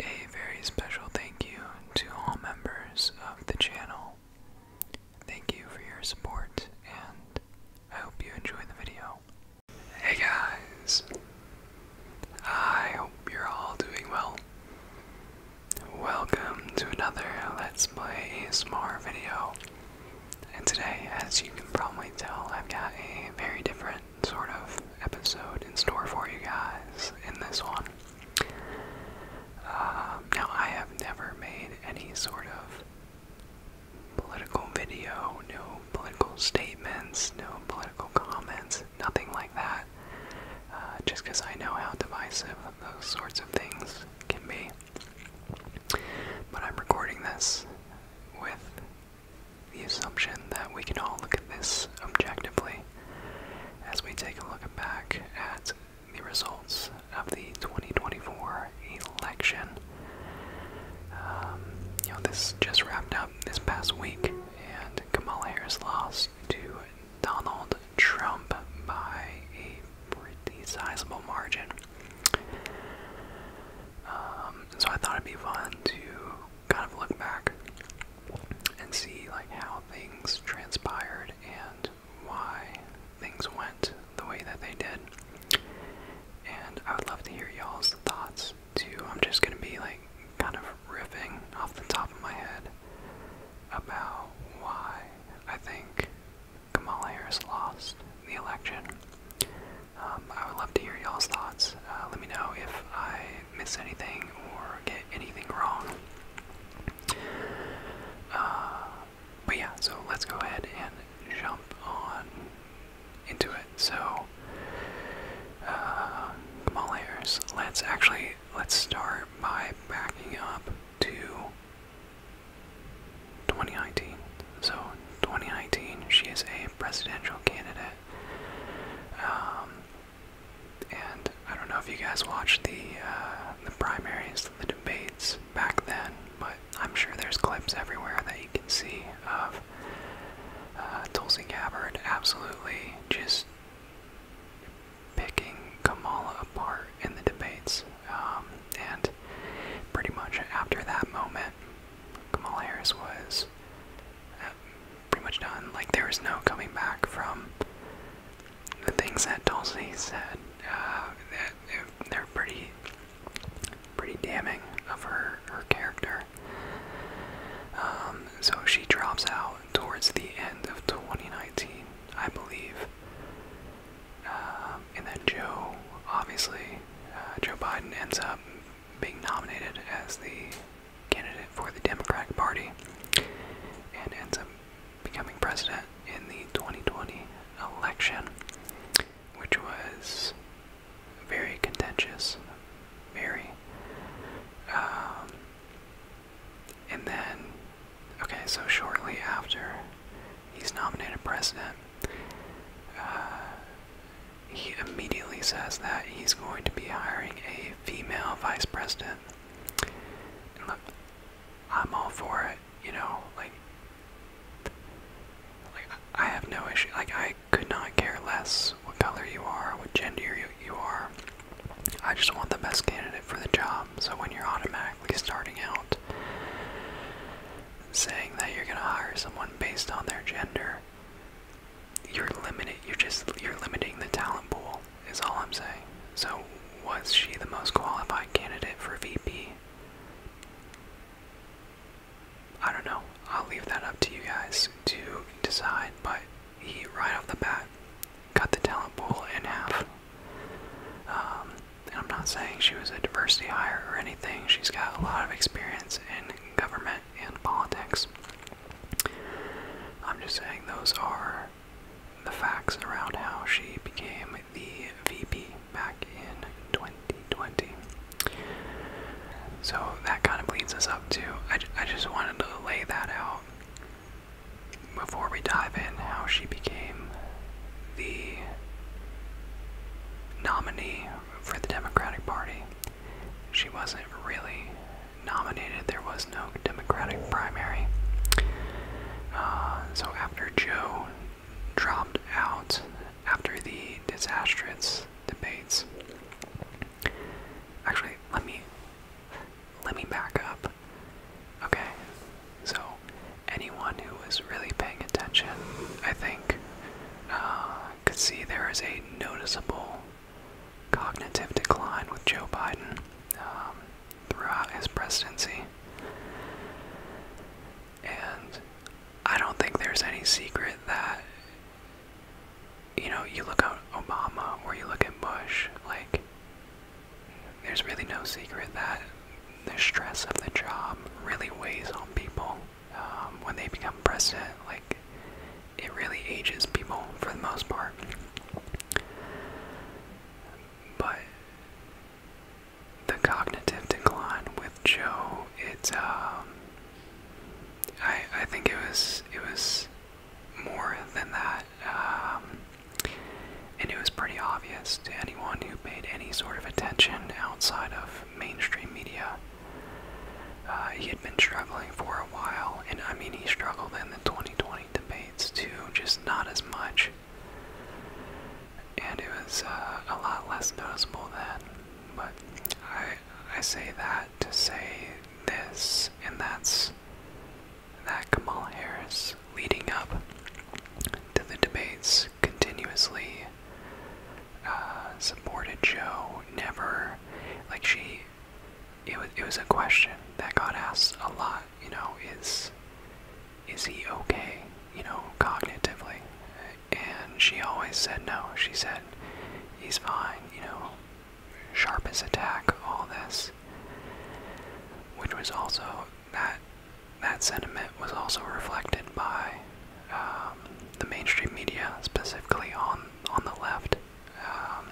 A very special thank you to all members of the channel. Thank you for your support, and I hope you enjoy the video. Hey guys! I hope you're all doing well. Welcome to another Let's Play ASMR video. And today, as you can probably tell, I've got a very different sort of episode in store for you guys in this one. Um, now, I have never made any sort of political video, no political statements, no political comments, nothing like that, uh, just because I know how divisive those sorts of things can be. But I'm recording this with the assumption that we can all look at this objectively as we take a look back at the results of the 2024 election. Um, you know, this just wrapped up this past week, and Kamala Harris lost to Donald Trump by a pretty sizable margin. Um, so I thought it'd be fun to kind of look back and see like how things transpired and why things went the way that they did. And I would love to hear y'all's thoughts too. I'm just gonna be like kind of riffing off the top of my head about why I think Kamala Harris lost the election. Um, I would love to hear y'all's thoughts. Uh, let me know if I miss anything or get anything wrong. Uh, but yeah, so let's go ahead and jump on into it. So, uh, Kamala Harris, let's actually, let's start by backing up to So, 2019, she is a presidential candidate. Um, and I don't know if you guys watched the uh, the primaries, the debates back then, but I'm sure there's clips everywhere that you can see of uh, Tulsi Gabbard absolutely just picking Kamala apart in the debates. Um, and pretty much after that moment, Kamala Harris was uh, pretty much done. Like, there was no coming back from the things that Tulsi said. Uh, that they're, pretty, pretty damning of her her character. Um, so she drops out towards the end of 2019, I believe. Uh, um, and then Joe, obviously, uh, Joe Biden ends up being nominated as the candidate for the Democratic Party and ends up becoming president in the 2020 election, which was very contentious, very. Um, and then, okay, so shortly after he's nominated president, uh, he immediately says that he's going to be hiring a female vice president. look, I'm all for it, you know, like, like I have no issue. Like, I could not care less what color you are, what gender you, you are. I just want the best candidate for the job. So when you're automatically starting out saying that you're gonna hire someone based on their gender, you're limited. You're just you're limiting the talent pool. Is all I'm saying. So was she the most qualified candidate for VP? I don't know. I'll leave that up to you guys to decide. But he right off the bat cut the talent pool in half. Um, and I'm not saying she was a diversity hire or anything. She's got a lot of experience in government and politics. I'm just saying those are the facts around how she became the VP back in 2020. So that kind of leads us up to, I, I just wanted to lay that out before we dive in how she became the nominee for the Democratic Party. She wasn't really nominated, there was no Democratic primary. Uh, so after Joe dropped out after the disastrous debates, actually, let me let me back up. Okay, so, anyone who was really paying attention, I think, uh, could see there is a noticeable cognitive decline with Joe Biden um, throughout his presidency. And I don't think there's any secret that, you know, you look at Obama or you look at Bush, like, there's really no secret that the stress of the job really weighs on people um, when they become president. Like, it really ages people for the most part. But the cognitive decline with Joe, it's um, I I think it was it was more than that. Um, and it was pretty obvious to anyone who paid any sort of attention outside of mainstream media. Uh, he had been struggling for a while, and I mean, he struggled in the 2020 debates too, just not as much. And it was uh, a lot less noticeable then. But I, I say that to say this, and that's that Kamala Harris leading up to the debates continuously uh, supported Joe, never like she it was it was a question that got asked a lot, you know, is is he okay, you know, cognitively? And she always said no. She said he's fine, you know, sharp as a all this. Which was also that that sentiment was also reflected by um, the mainstream media, specifically on on the left. Um,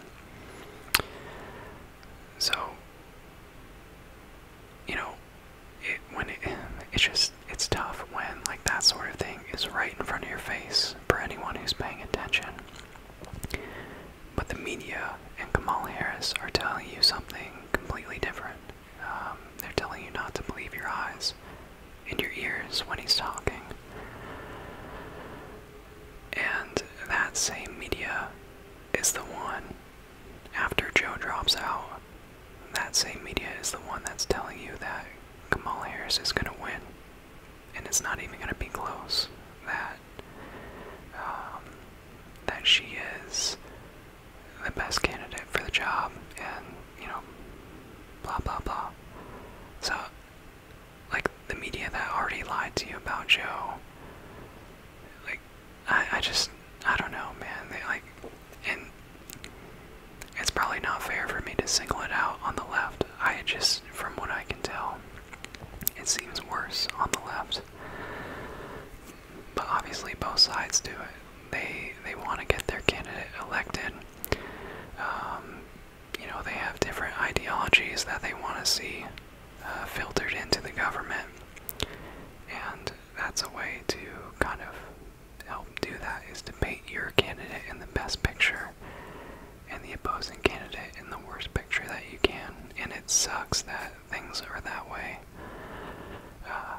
so you know, when it it's just it's tough when like that sort of thing is right in front of your face for anyone who's paying attention. But the media and Kamala Harris are telling you something completely different. Um, they're telling you not to believe your eyes and your ears when he's talking. And that same media is the one, after Joe drops out, that same media is the one that's telling you that Kamala Harris is going to win. And it's not even going to be close. That, um, that she is the best candidate for the job and, you know, blah, blah, blah. So, like, the media that already lied to you about Joe, like, I, I just, I don't know, man. They, like, and it's probably not fair for me to single it out on the left. I just, from what I can tell, it seems worse on the left. But obviously, both sides do it they they want to get their candidate elected. Um, you know, they have different ideologies that they want to see uh, filtered into the government, and that's a way to kind of help do that is to paint your candidate in the best picture and the opposing candidate in the worst picture that you can. And it sucks that things are that way. Uh,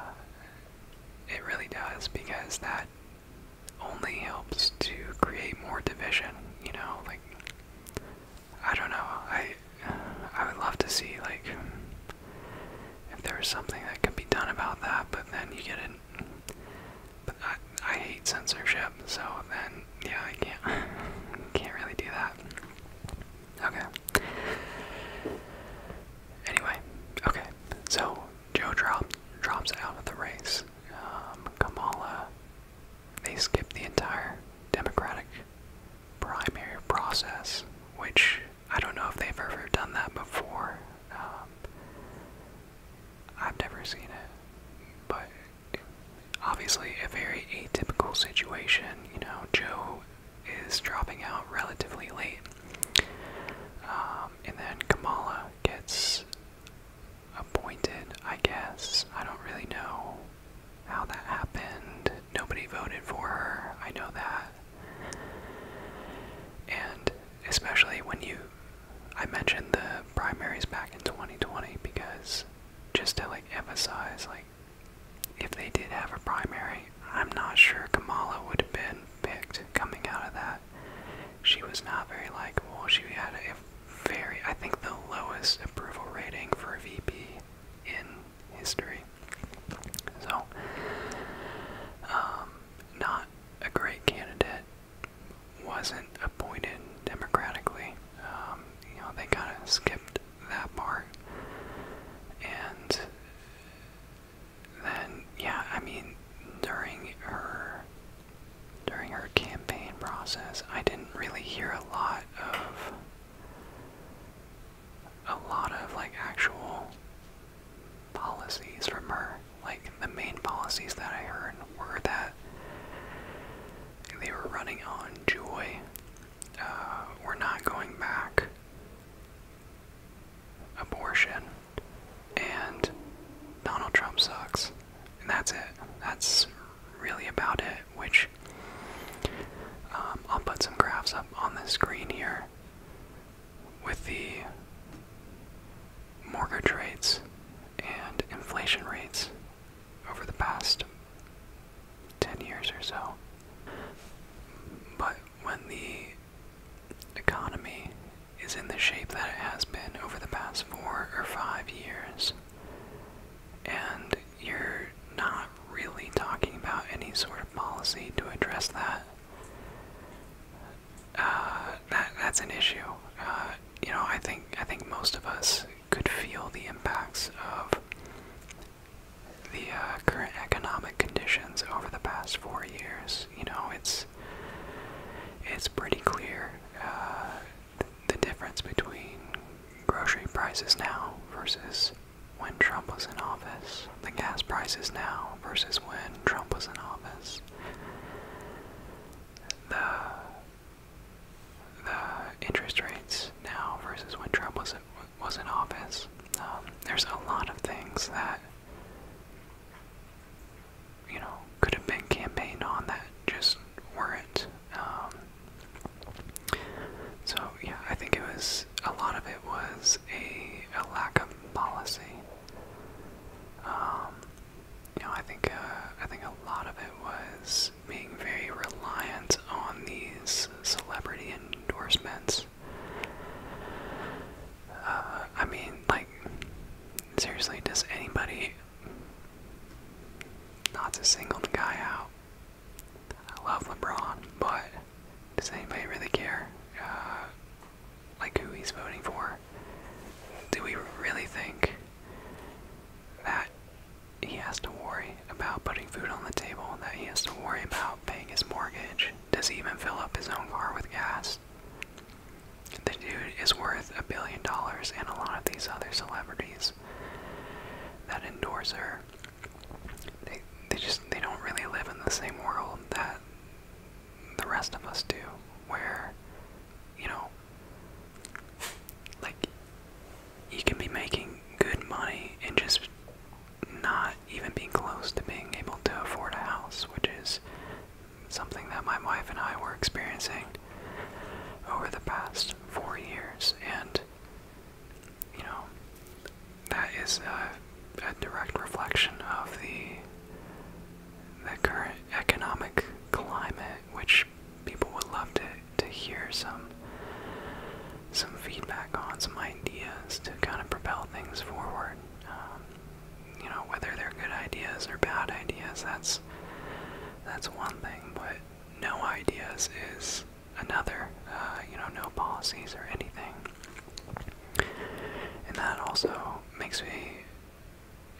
it really does because that only helps to create more division, you know, like I don't know. I I would love to see like if there was something that could be done about that, but then you get it. But I I hate censorship, so then yeah, I can't can't really do that. Okay. Anyway, okay. So Joe drops drops out of the race. Um, Kamala. They skip the entire Democratic primary process, which I don't know if they've ever done that before. Um, I've never seen it, but obviously a very atypical situation. You know, Joe is dropping out relatively late. Um, and then Kamala gets appointed, I guess. I don't really know how that happened. Nobody voted for her, I know that. And especially when you. I mentioned the primaries back in 2020 because just to like emphasize, like, if they did have a primary, I'm not sure Kamala would have been picked coming out of that. She was not very likable. She had a very, I think, the lowest approval rating for a VP in history. So, um, not a great candidate. Wasn't appointed democratically. Um, you know, they kind of skipped that part. And then yeah, I mean, during her during her campaign process, I didn't really hear a lot of a lot of like actual policies from her. Like the main policies that I heard were that they were running on joy. Uh, we're not going back abortion, and Donald Trump sucks. And that's it. That's really about it, which um, I'll put some graphs up on the screen here with the mortgage rates and inflation rates over the past 10 years or so. But when the economy is in the shape that it has been over the past four or five years, and you're not really talking about any sort of policy to address that, uh, that's an issue. Uh, you know, I think I think most of us could feel the impacts of the uh, current economic conditions over the past four years. You know, it's it's pretty clear uh, the difference between grocery prices now versus when Trump was in office, the gas prices now versus when Trump was in office, the the interest rates now versus when Trump was was in office. Um, there's a lot of things that you know, could have been campaigned on that just weren't. Um, so yeah, I think it was a lot of it was a, a lack of policy. Um, you know, I think uh, I think a lot of it was being very reliant on these celebrity endorsements I mean, like, seriously, does anybody not to single the guy out? I love LeBron, but does anybody really care? Uh, like, who he's voting for? Do we really think that he has to worry about putting food on the table, that he has to worry about paying his mortgage, does he even fill up his own car with gas? The dude is worth a billion dollars and a lot of these other celebrities that endorse her. They they just they don't really live in the same world that the rest of us do, where, you know, like you can be making good money and just not even being close to being able to afford a house, which is something that my wife and I were experiencing over the past four years. And, you know, that is a, direct reflection of the the current economic climate, which people would love to, to hear some some feedback on, some ideas to kind of propel things forward. Um, you know whether they're good ideas or bad ideas. That's that's one thing, but no ideas is another. Uh, you know, no policies or anything, and that also makes me.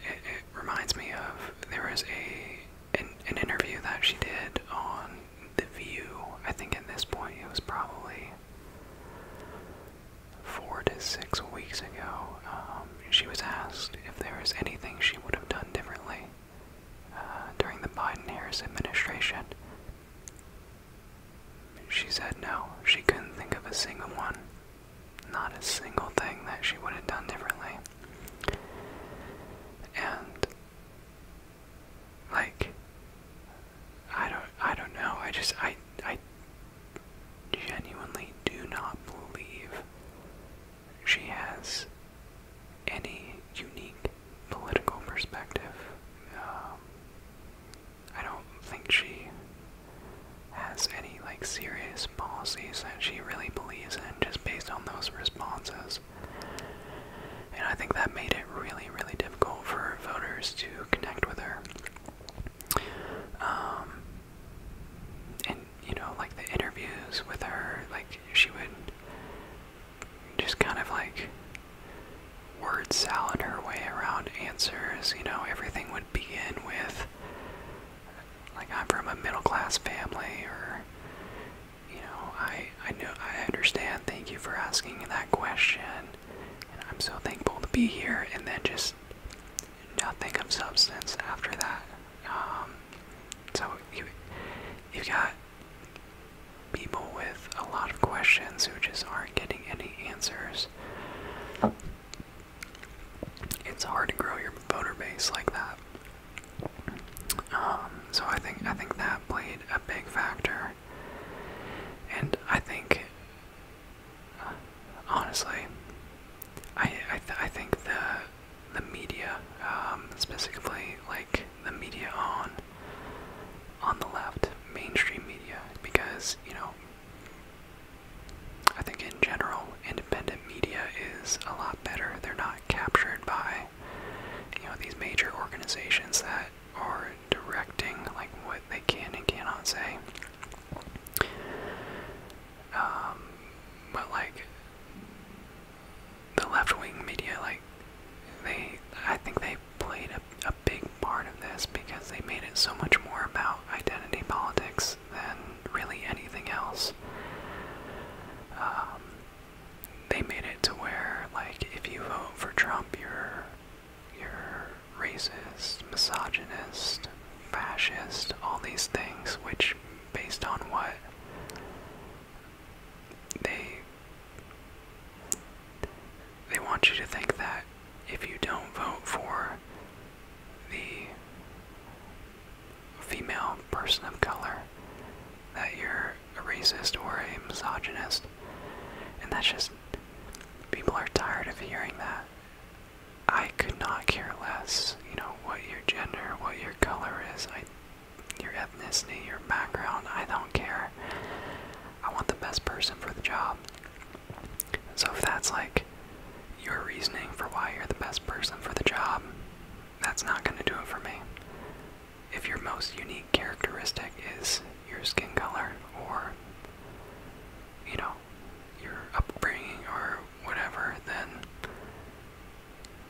It, reminds me of there was a an interview that she did on the View. I think at this point it was probably four to six weeks ago, um, she was asked if there is anything she would have done differently uh, during the Biden Harris administration. She said no, she couldn't think of a single one. Not a single thing that she would have done differently. And, like, I don't I don't know. I just I I genuinely do not believe she has any unique political perspective. Um, I don't think she has any like serious policies that she really believes in just based on those responses. And I think that made it really, really difficult for voters to connect with her. Um, and you know, like the interviews with her, like she would just kind of like word salad her way around answers. You know, everything would begin with like I'm from a middle class family, or you know, I I know I understand. Thank you for asking that question. And I'm so thankful to be here, and then just nothing of substance after that. Um, so you, have got people with a lot of questions who just aren't getting any answers. It's hard to grow your voter base like that. Um, so I think I think that played a big factor, and I think honestly, I I, I think the the media, um, specifically like the media on on the left, mainstream media, because you know, I think in general, independent media is a lot better. They're not captured by you know these major organizations that that directing like what they can and cannot say. Um, but like the left wing media, like they, I think they played a, a big part of this because they made it so much more about identity politics than really anything else. Um, they made it to where, like, if you vote for Trump, you're you're racist, misogynist, fascist, all these things, which, based on what they they want you to think that if you don't vote for the female person of color, that you're a racist or a misogynist. And that's just, people are tired of hearing that. I could not care less, you know, what your gender, what your color is, I, your ethnicity, your background, I don't care. I want the best person for the job. So if that's like your reasoning for why you're the best person for the job, that's not going to do it for me. If your most unique characteristic is your skin color or you know, your upbringing or whatever, then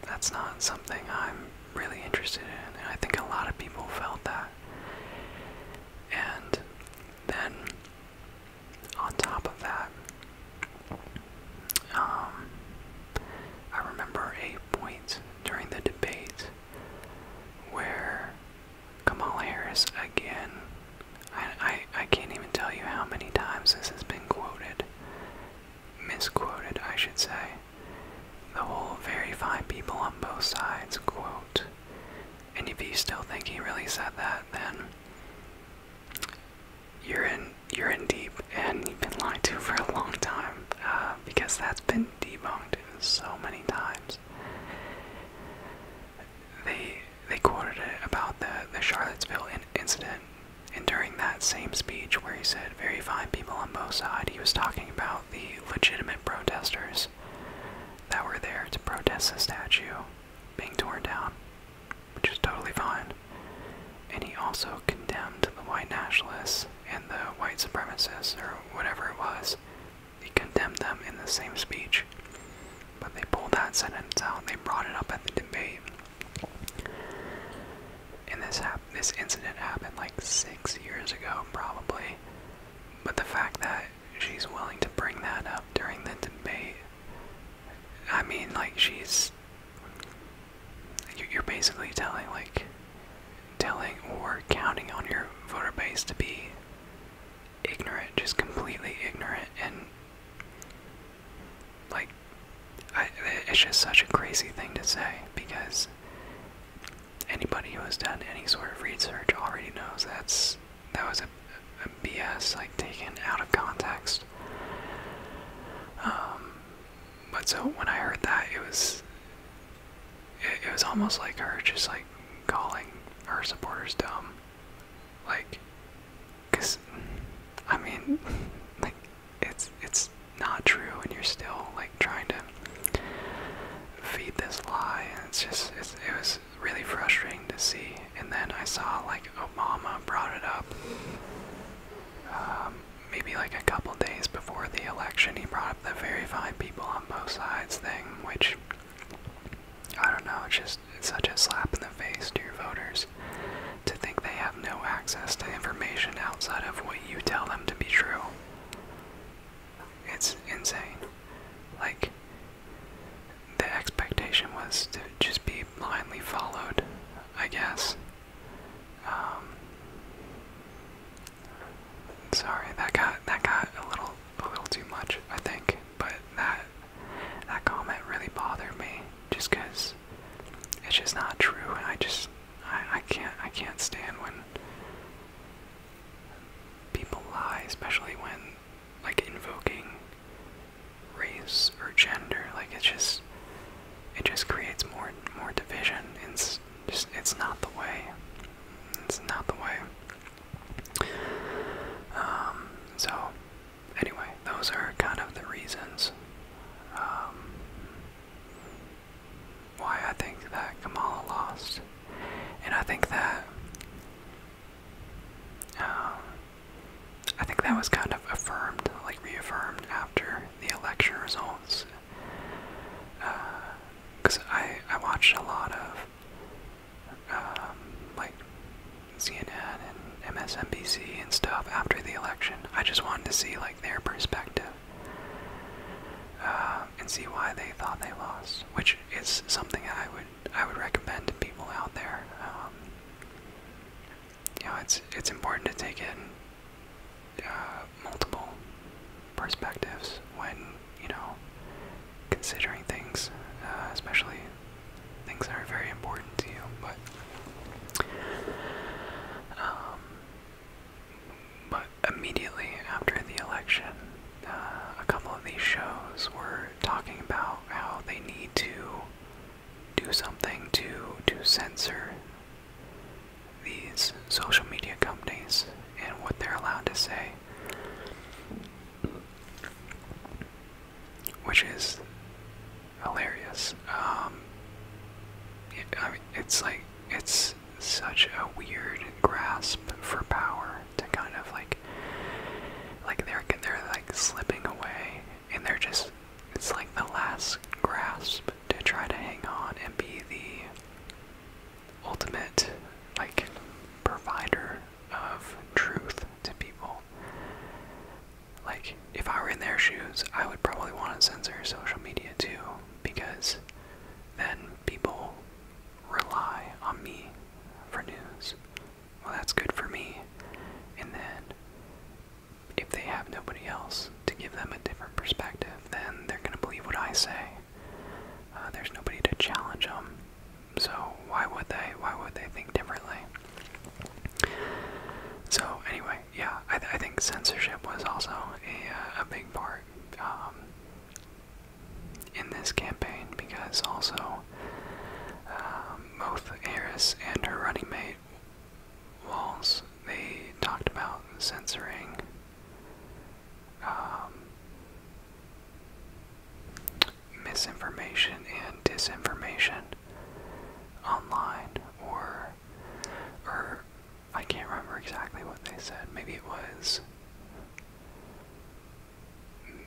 that's not something I'm really interested in. And I think a lot of people felt that. And then on top of that, um, I remember a point during the debate where Kamala Harris again. I, I, can't even tell you how many times this has been quoted. Misquoted, I should say. The whole verify people on both sides quote. And if you still think he really said that, then you're in you're in deep and you've been lied to for a long time uh, because that's been debunked so many times they they quoted it about the the Charlottesville incident, and during that same speech where he said very fine people on both sides, he was talking about the legitimate protesters that were there to protest the statue being torn down, which is totally fine. And he also condemned the white nationalists and the white supremacists or whatever it was he condemned them in the same speech. But they pulled that sentence out. They brought it up at the debate. And this this incident happened like six years ago, probably. But the fact that she's willing to bring that up during the debate, I mean, like she's you're basically telling like telling or counting on your voter base to be ignorant, just completely ignorant, and like, I, it's just such a crazy thing to say because anybody who has done any sort of research already knows that's that was a, BS, like taken out of context. Um, but so when I heard that, it was it was almost like her just like calling her supporters dumb. Like, cause I mean, like it's it's not true, and you're still like trying to feed this lie, and it's just it was really frustrating to see. And then I saw like Obama brought it up. Um, maybe like a couple days before the election, he brought up the verify people on both sides thing, which I don't know, it's just such a slap in the face to your voters to think they have no access to information outside of what you tell them to be true. It's insane. Like, the expectation was to just be blindly followed, I guess. Um, sorry, that got that got a little a little too much, I think. But that that comment really bothered me, just because it's just not true, and I just I, I can't I can't stand when people lie, especially when like invoking race or gender. Like it just it just creates more more division. It's just it's not the way. It's not the way. Um, so, anyway, those are kind of the reasons um, why I think that Kamala lost. And I think that. Um, I think that was kind of affirmed, like reaffirmed after the election results. Because uh, I, I watched a lot of um, like CNN and MSNBC and stuff after the election. I just wanted to see like their perspective uh, and see why they thought they lost, which is something I would I would recommend to people out there. Um, it's it's important to take in uh, multiple perspectives when you know, considering things, uh, especially things that are very important to you. But, um, but immediately after the election, uh, a couple of these shows were talking about how they need to do something to to censor these social media companies and what they're allowed to say which is hilarious. Um, I mean, it's like it's such a weird grasp for power to kind of like, like they're they're like slipping away, and they're just it's like the last grasp to try to hang on and be the ultimate like provider of truth to people. Like, if I were in their shoes, I would probably want to censor social media too, because then people rely on me for news. Well, that's good for me. And then, if they have nobody else to give them a different perspective, then they're going to believe what I say. Uh, there's nobody to challenge them. So why would they? Why would they think differently? So anyway, yeah, I, I think censorship was also a, uh, a big part um, in this campaign because also um, both Harris and her running mate Walls they talked about censoring. Um, misinformation and disinformation online or or I can't remember exactly what they said. Maybe it was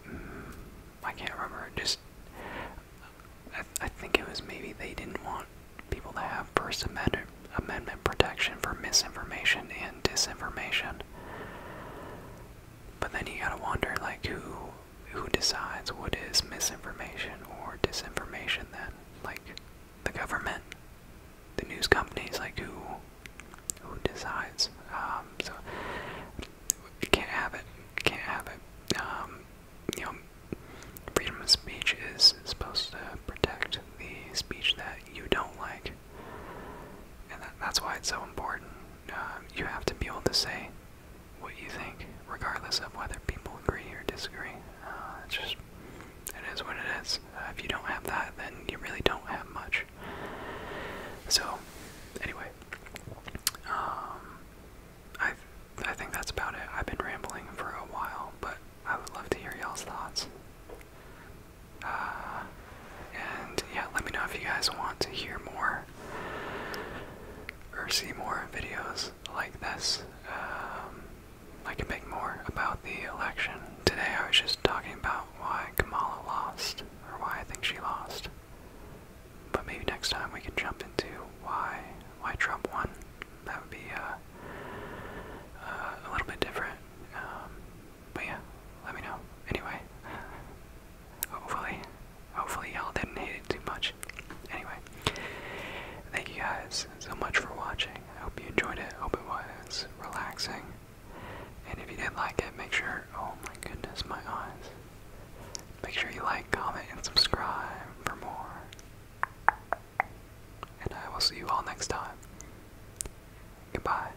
mm, I can't remember. Just I, I think it was maybe they didn't want people to have First Amendment amendment protection for misinformation and disinformation. But then you gotta wonder, like, who who decides what is misinformation or disinformation then? Like, the government, the news companies, like, who who decides? Um, so can't have it. Can't have it. Um, you know, freedom of speech is supposed to protect the speech that you don't like. And that's why it's so important. Um, you have to be able to say what you think, regardless of whether people agree or disagree. Uh, it's just, it is what it is. Uh, if you don't have that, then you really don't have much. So, anyway, um, I I think that's about it. I've been rambling for a while, but I would love to hear y'all's thoughts. Uh, and yeah, let me know if you guys want to hear more or see more videos like this. Um, I can make more about the election. Today I was just talking about why Kamala lost, or why I think she lost. But maybe next time we can jump into why why Trump won. That would be uh, uh, a little bit different. Um, but yeah, let me know. Anyway, hopefully, hopefully y'all didn't hate it too much. Anyway, thank you guys so much for watching. I hope you enjoyed it. Hope it was relaxing. And if you did not like it, make sure. Oh my goodness, my eyes. Make sure you like, comment, and subscribe for more. And I will see you all next time. Goodbye.